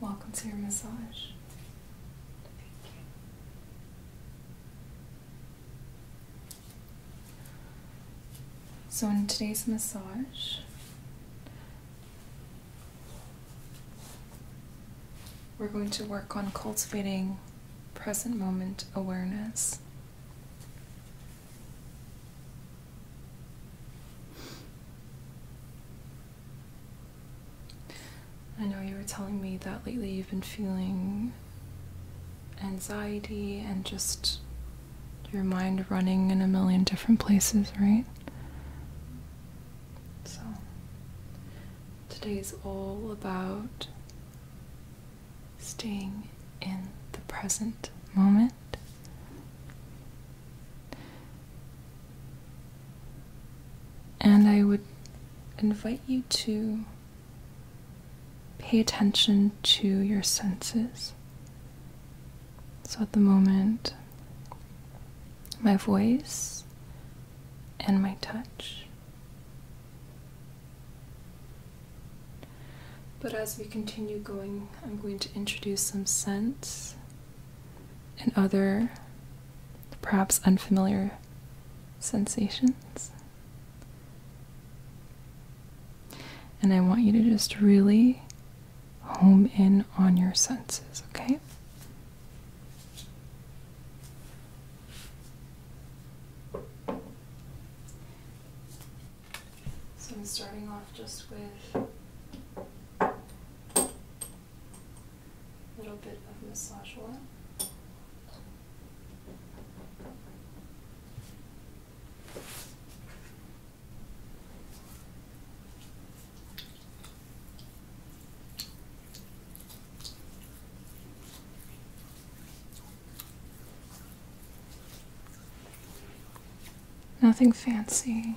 Welcome to your massage. So, in today's massage, we're going to work on cultivating present moment awareness. I know you were telling me that lately you've been feeling anxiety and just your mind running in a million different places, right? So, today is all about staying in the present moment. And I would invite you to pay attention to your senses. So at the moment, my voice and my touch. But as we continue going, I'm going to introduce some scents and other perhaps unfamiliar sensations. And I want you to just really home in on your senses, okay? So I'm starting off just with a little bit of massage oil. Nothing fancy.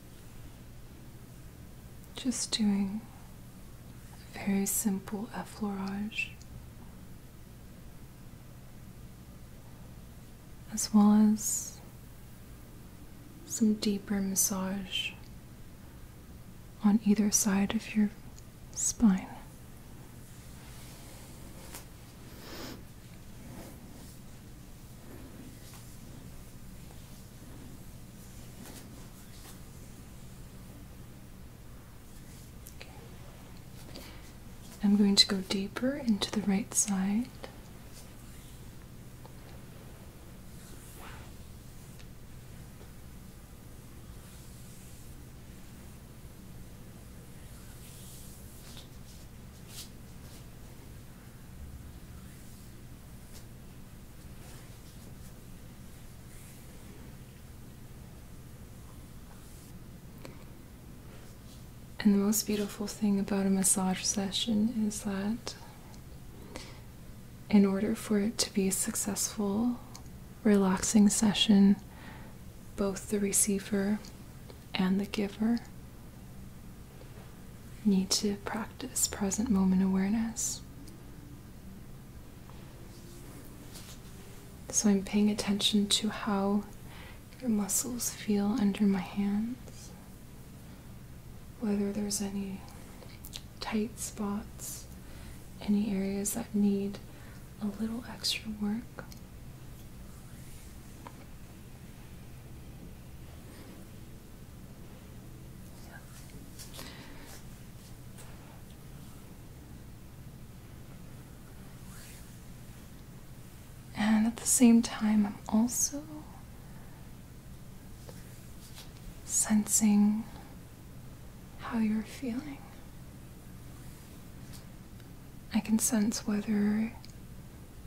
Just doing very simple effleurage as well as some deeper massage on either side of your spine. I'm going to go deeper into the right side. And the most beautiful thing about a massage session is that in order for it to be a successful, relaxing session, both the receiver and the giver need to practice present moment awareness. So I'm paying attention to how your muscles feel under my hands, whether there's any tight spots, any areas that need a little extra work. And at the same time, I'm also sensing how you're feeling. I can sense whether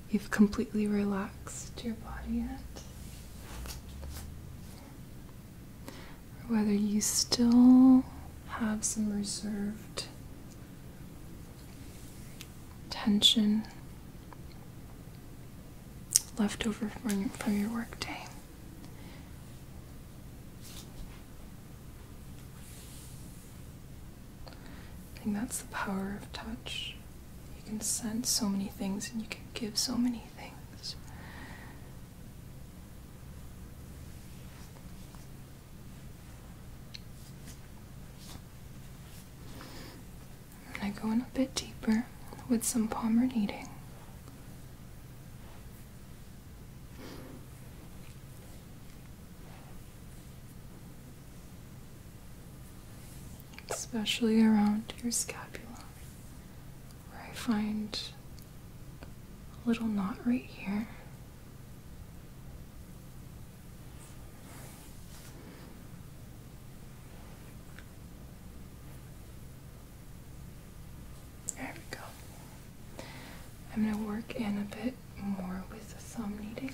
You've completely relaxed your body yet? Or whether you still have some reserved tension left over from your, work day. I think that's the power of touch. You can sense so many things and you can give so many things. I'm gonna go in a bit deeper with some palmer kneading especially around your scapula, where I find a little knot right here. There we go. I'm going to work in a bit more with the thumb kneading.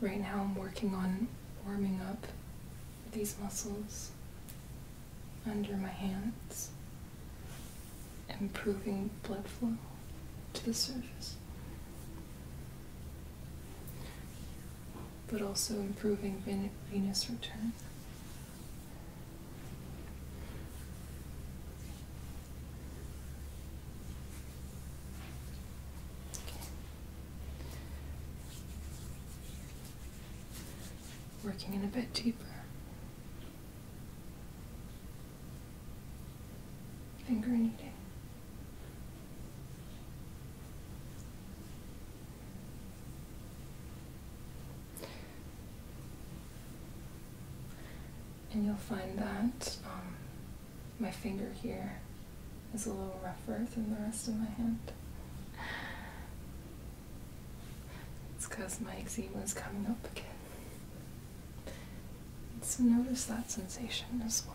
Right now I'm working on warming up these muscles under my hands improving blood flow to the surface, but also improving venous return. Working in a bit deeper. Finger kneading. And you'll find that um, my finger here is a little rougher than the rest of my hand. It's because my eczema is coming up again so notice that sensation as well.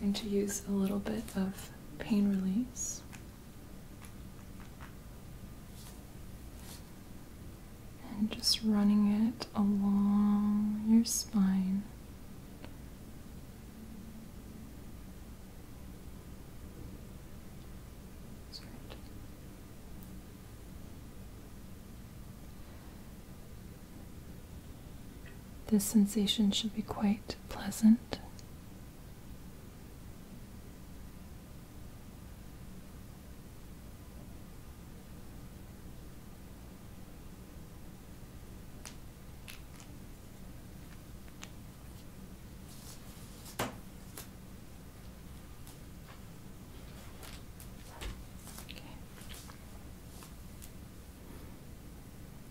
going to use a little bit of pain relief, And just running it along your spine. This sensation should be quite pleasant.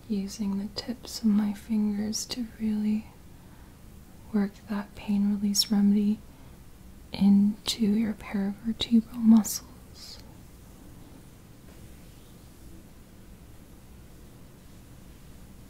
Using the tips of my fingers to really work that pain release remedy into your paravertebral muscles.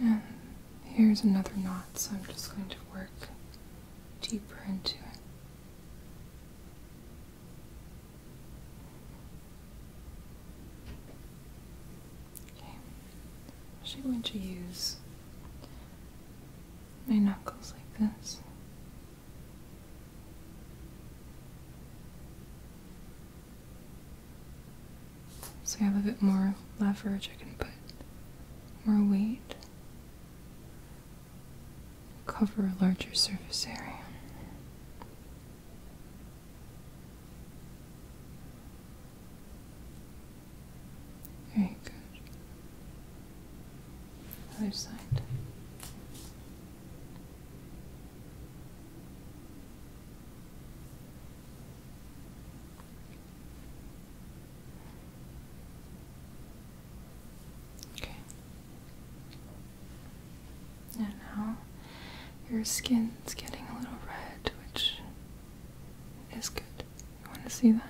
And here's another knot, so I'm just going to work deeper into it. Okay. I'm going to use my knuckles like this. So I have a bit more leverage, I can put more weight, cover a larger surface area. Very good. Other side. Okay. And now your skin's getting a little red, which is good. You want to see that?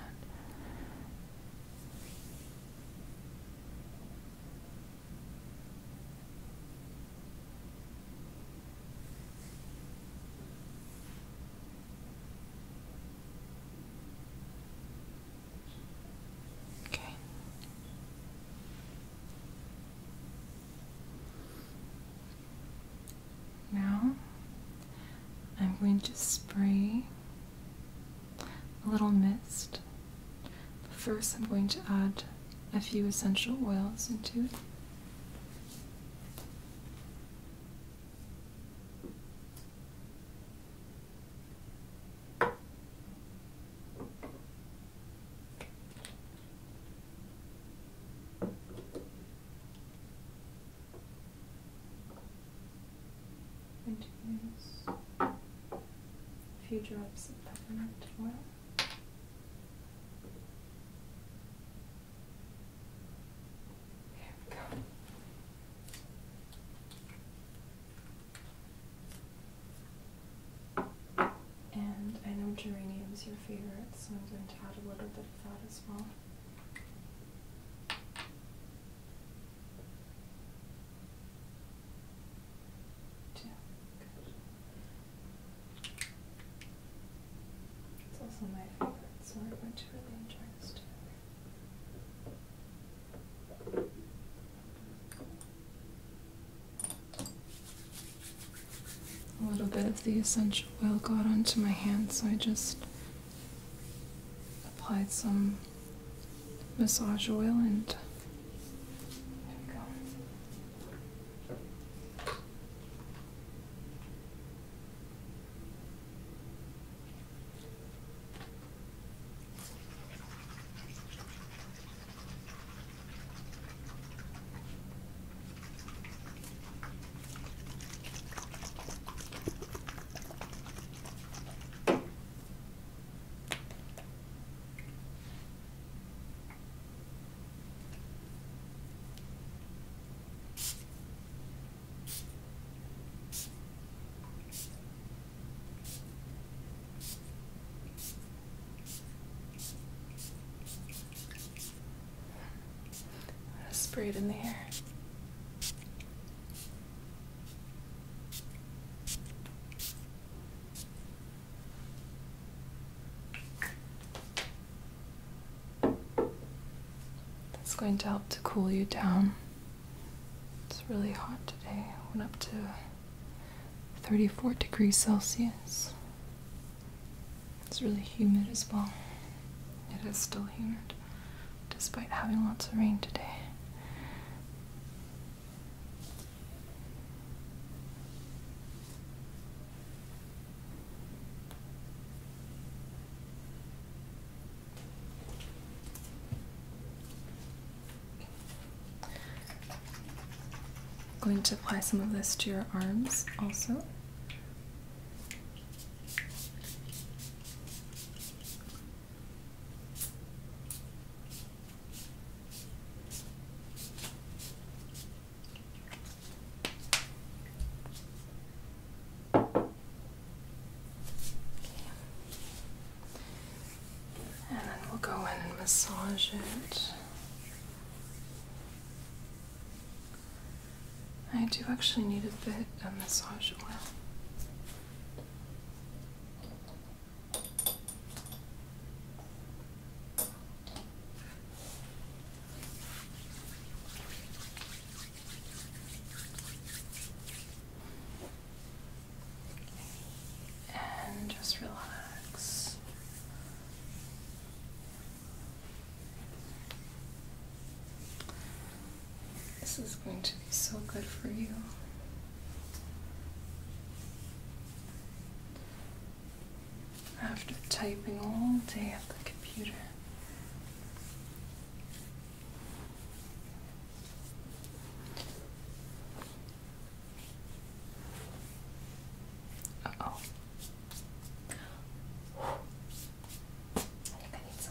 Okay. Now I'm going to spray a little mist. first, I'm going to add a few essential oils into it. Going to use a few drops of peppermint oil. There we go. And I know geranium is your favorite, so I'm going to add a little bit of that as well. Two. Good. It's also my favorite, so I'm going to really enjoy this A little bit of the essential oil got onto my hand, so I just applied some massage oil and there we go. Spray it in the air. That's going to help to cool you down. It's really hot today. Went up to 34 degrees Celsius. It's really humid as well. It is still humid despite having lots of rain today. going to apply some of this to your arms also. And then we'll go in and massage it. I do actually need a bit of massage oil. And just relax. This is going to be so good for you. After typing all day at the computer, oh.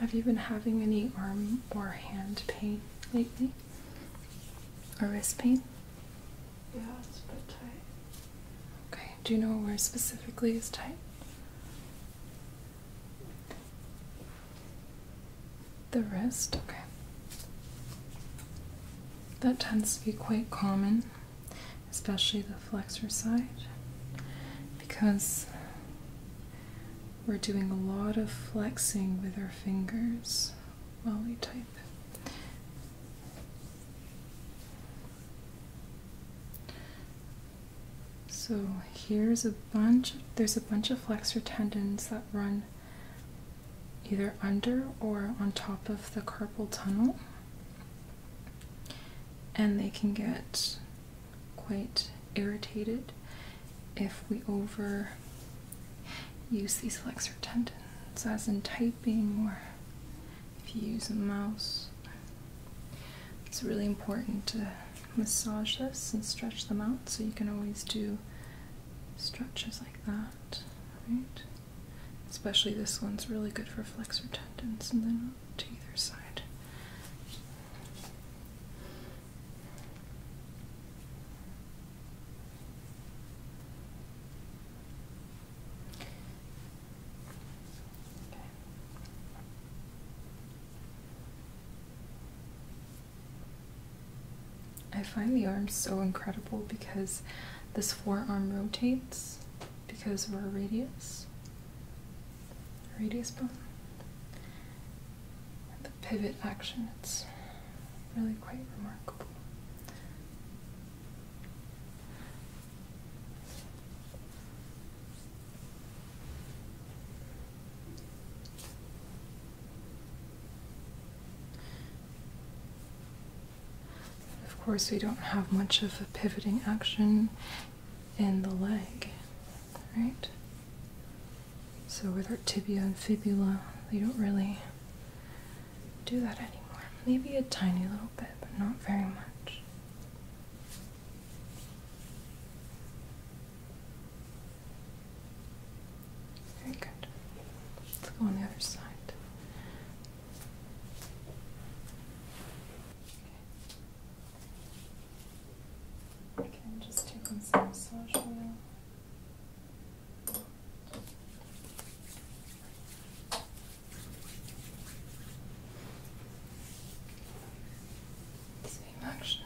Have you been having any arm or hand pain lately? Or wrist pain? Yeah, it's a bit tight. Okay, do you know where specifically it's tight? The wrist, okay. That tends to be quite common, especially the flexor side, because we're doing a lot of flexing with our fingers while we type. So here's a bunch there's a bunch of flexor tendons that run either under or on top of the carpal tunnel and they can get quite irritated if we over use these flexor tendons as in typing or if you use a mouse it's really important to massage this and stretch them out so you can always do stretches like that, right? Especially this one's really good for flexor tendons and then to either side. I find the arm so incredible because this forearm rotates because of our radius, radius bone. the pivot action, it's really quite remarkable. Of course, we don't have much of a pivoting action in the leg, right? So, with our tibia and fibula, we don't really do that anymore. Maybe a tiny little bit, but not very much. Very good. Let's go on the other side. Okay, okay just taking some massage oil. Same action.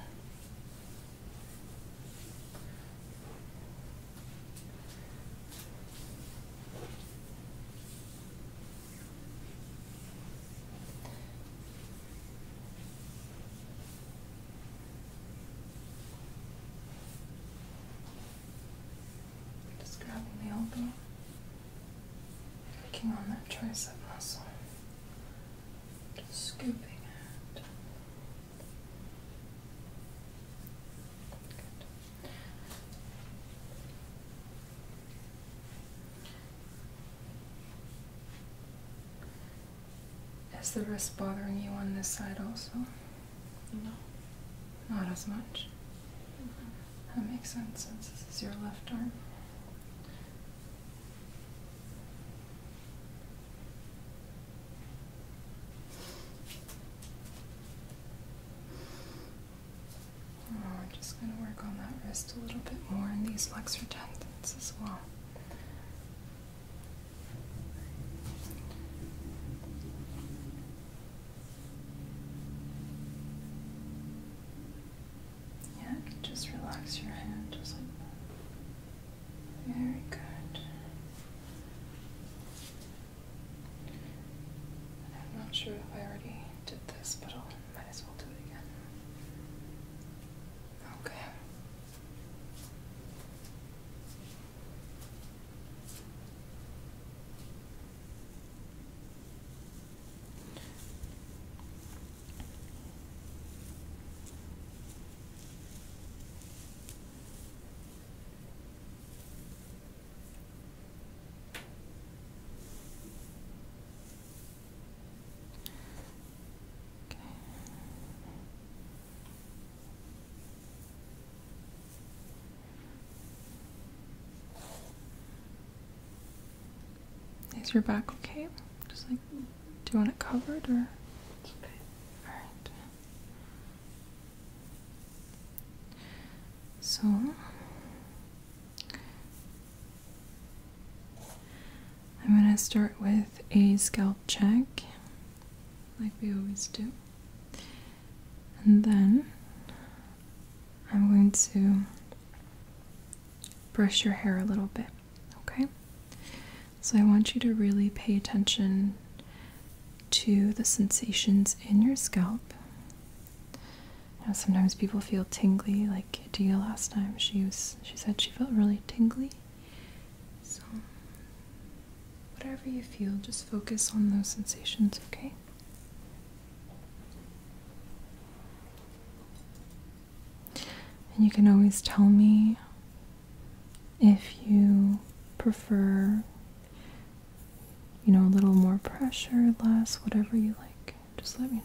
Just grabbing the elbow, working on that tricep muscle scooping out. Good. Is the wrist bothering you on this side also? No. Not as much. That makes sense since this is your left arm. Oh, I'm just going to work on that wrist a little bit more and these flexor tendons as well. Yeah, just relax your hand just like that. Very good. I'm not sure if I already did this, but I might as well do it again. Okay. Is your back okay? Just like do you want it covered or? It's okay. Alright. So. I'm going to start with a scalp check, like we always do. And then I'm going to brush your hair a little bit. Okay? So I want you to really pay attention to the sensations in your scalp. Now sometimes people feel tingly, like Dia last time. She was she said she felt really tingly. So whatever you feel, just focus on those sensations, okay? And you can always tell me if you prefer, you know, a little more pressure, less, whatever you like, just let me know.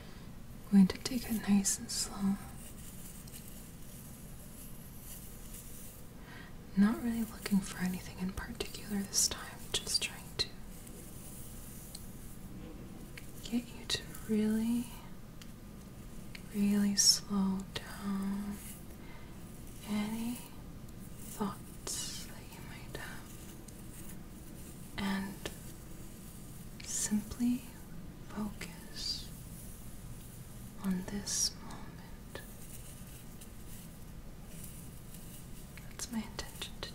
I'm going to take it nice and slow. Not really looking for anything in particular this time, just trying to get you to really, really slow down any thoughts that you might have and simply focus on this moment. That's my intention today.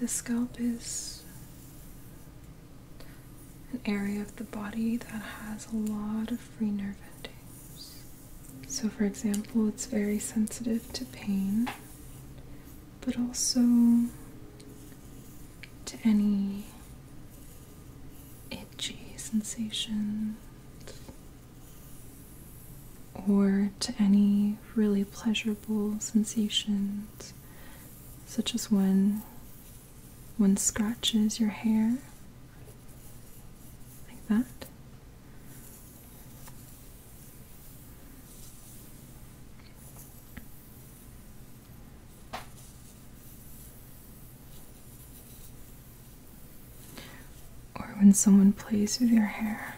The scalp is an area of the body that has a lot of free nerve endings. So, for example, it's very sensitive to pain, but also to any itchy sensations or to any really pleasurable sensations, such as when one scratches your hair like that. Or when someone plays with your hair.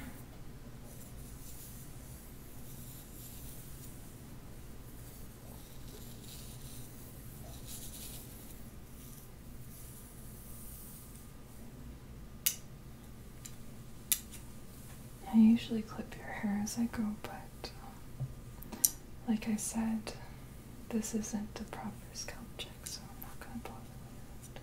I usually clip your hair as I go, but um, like I said, this isn't the proper scalp check, so I'm not going to bother with it.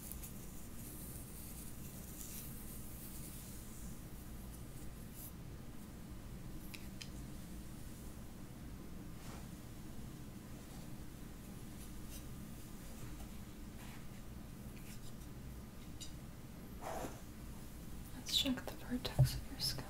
Let's check the vertex of your scalp.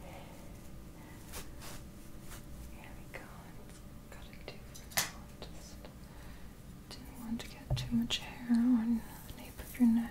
There we go. Got to do for now. Just didn't want to get too much hair on the nape of your neck.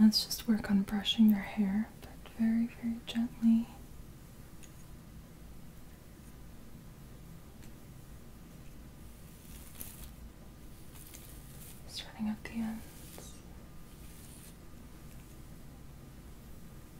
Let's just work on brushing your hair, but very, very gently. Starting at the ends.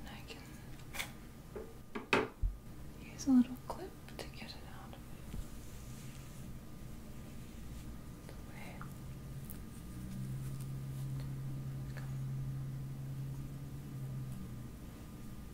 And I can use a little clip to get it out of the way.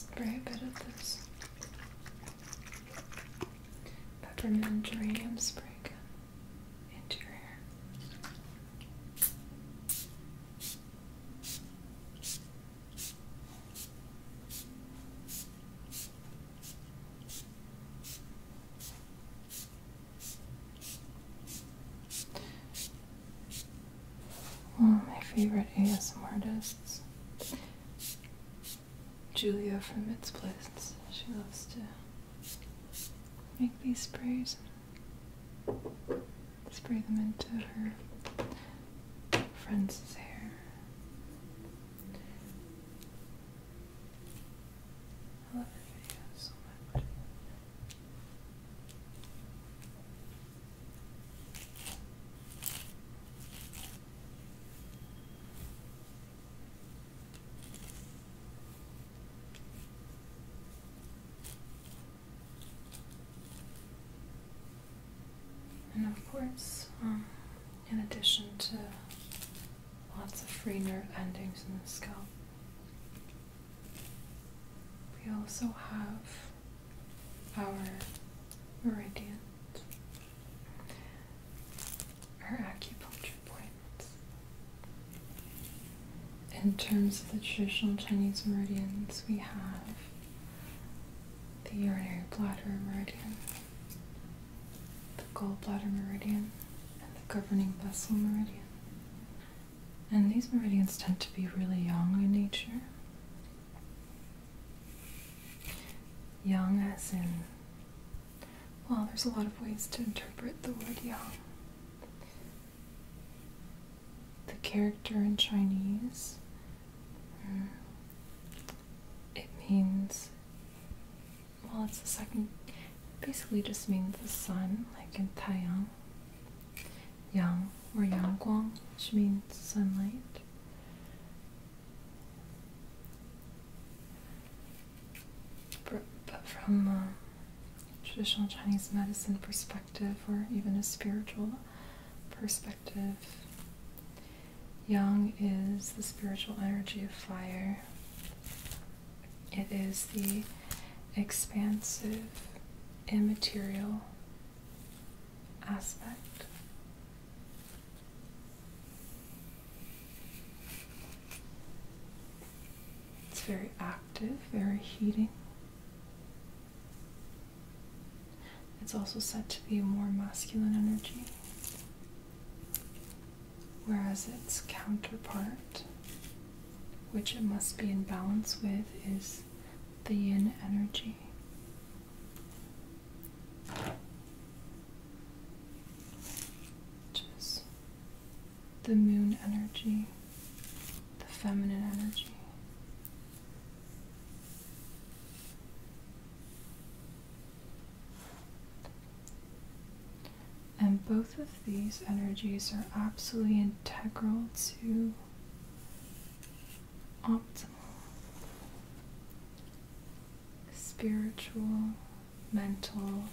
I'm gonna spray a bit of this peppermint geranium spray Interior. your my favorite ASM artists, Julia from Its Place, she loves to make these sprays spray them into her friend's hair. I love her videos so much. And of course, um, in addition to lots of free nerve endings in the scalp, we also have our meridians, our acupuncture in terms of the traditional Chinese meridians, we have the urinary bladder meridian, the gallbladder meridian, and the governing vessel meridian. And these meridians tend to be really yang in nature. Young as in well, there's a lot of ways to interpret the word yang. The character in Chinese, uh, it means, well, it's the second, basically just means the sun, like in Taiyang. Yang or Yang Guang, which means sunlight but from a um, traditional Chinese medicine perspective, or even a spiritual perspective, yang is the spiritual energy of fire. It is the expansive, immaterial aspect. It's very active, very heating. It's also said to be a more masculine energy, whereas its counterpart, which it must be in balance with, is the yin energy. Which the moon energy, the feminine energy. And both of these energies are absolutely integral to optimal spiritual mental,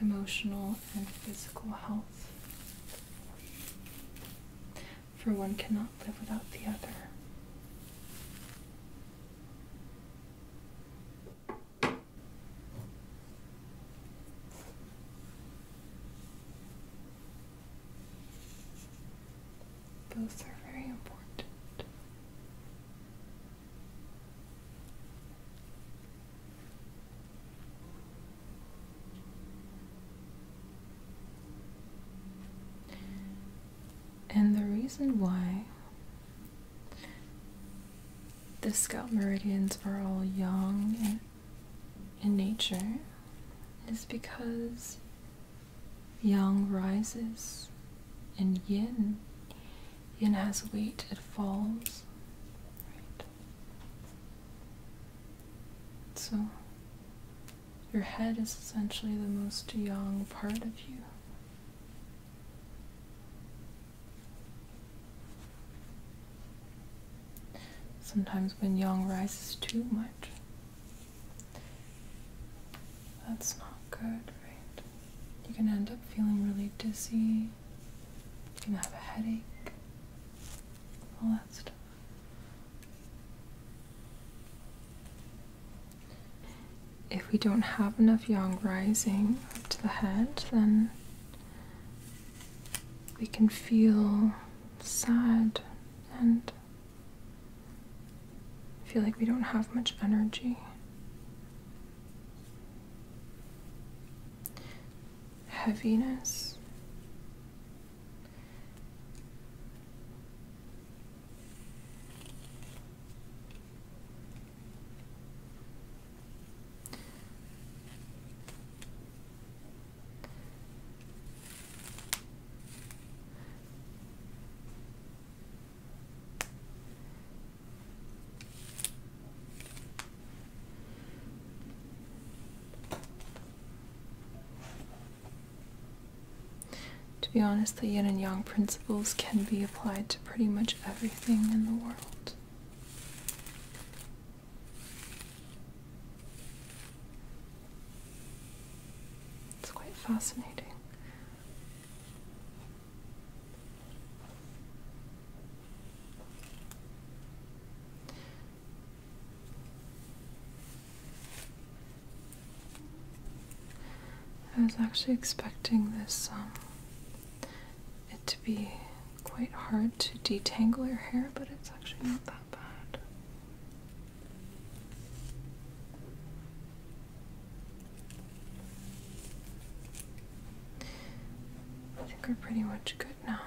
emotional, and physical health. For one cannot live without the other. Both are very important. And the reason why the scalp meridians are all yang in, nature is because yang rises and yin and as weight it falls. So your head is essentially the most yang part of you. Sometimes when yang rises too much, that's not good, right? You can end up feeling really dizzy angry, have a headache, all that stuff. If we don't have enough yang rising up to the head, then we can feel sad and feel like we don't have much energy heaviness. To be honest, the yin and yang principles can be applied to pretty much everything in the world. It's quite fascinating. I was actually expecting this um, it to be quite hard to detangle your hair, but it's actually not that bad. I think we're pretty much good now.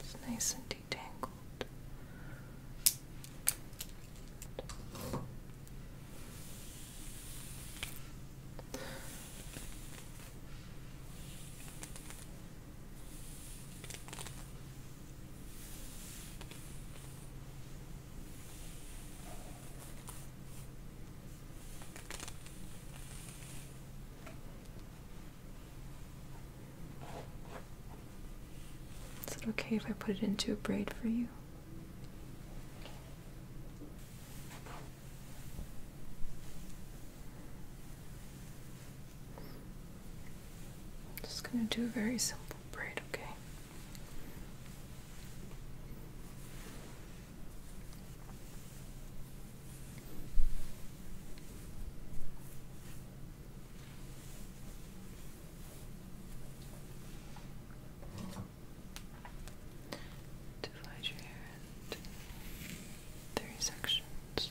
It's nice and detangled. Is it okay if I put it into a braid for you? Just going to do a very simple braid, okay? Divide your hair into three sections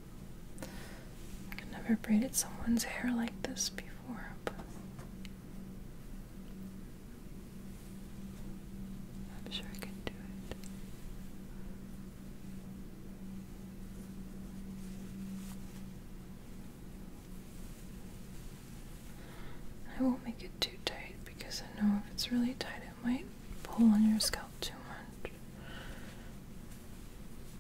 I've never braided someone's hair like this before, but I'm sure I can do it. I won't make it too tight because I know if it's really tight, it might pull on your scalp too much.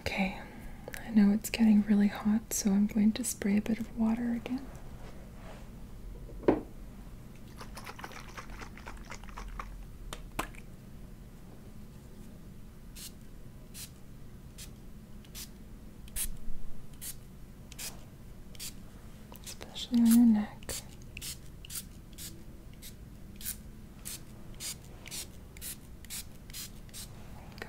Okay, I know it's getting really hot, so I'm going to spray a bit of water again. Especially on your neck. There you go.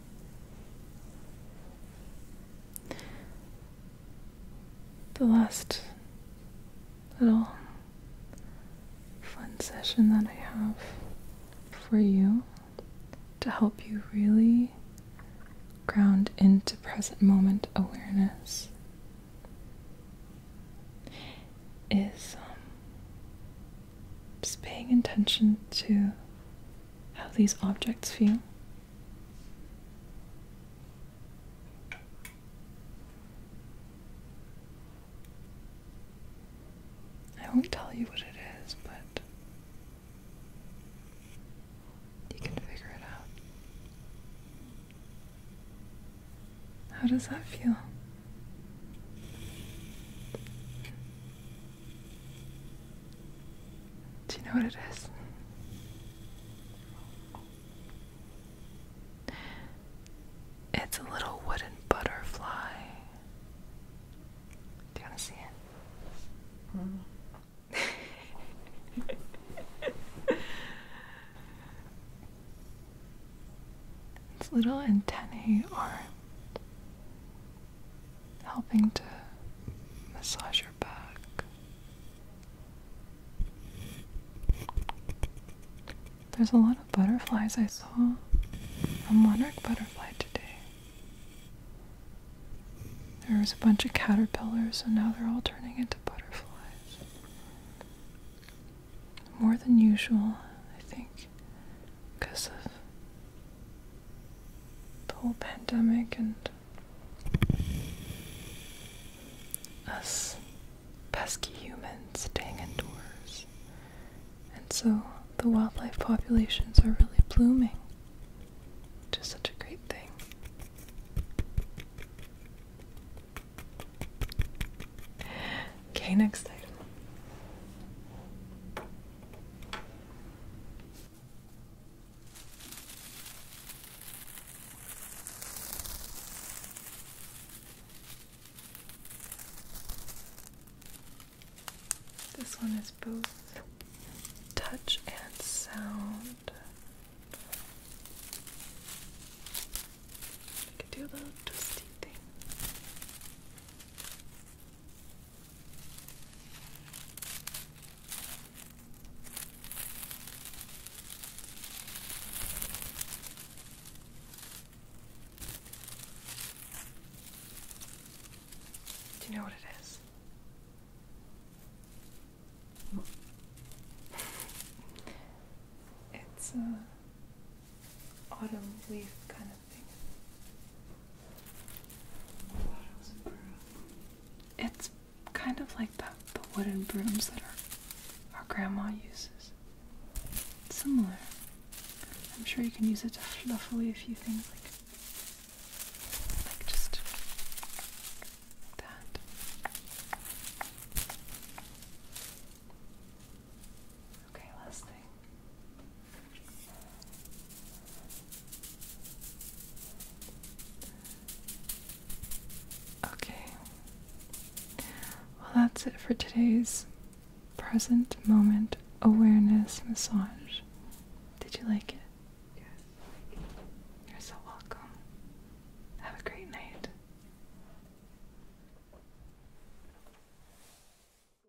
The last little fun session that I have for you to help you really ground into present moment awareness is um, just paying attention to how these objects feel. I won't tell you what it is, but you can figure it out. How does that feel? Do you know what it is? It's a little wooden butterfly. Do you want to see it? its little antennae are helping to massage your back. There's a lot of butterflies. I saw a monarch butterfly today. There was a bunch of caterpillars, and now they're all turning into butterflies. More than usual, I think because of the whole pandemic and us pesky humans staying indoors. And so the wildlife populations are really blooming, Just such a great thing. Okay, next item. This one is both touch and sound. You can do a little twisty thing. Do you know what it is? It's a uh, autumn leaf kind of. It's kind of like the, the wooden brooms that our, our grandma uses. similar. I'm sure you can use it to fluff away a few things like like just like that. Okay, last thing. Okay. Well, that's it for today's present moment awareness massage. Did you like it? Yes. You're so welcome. Have a great night.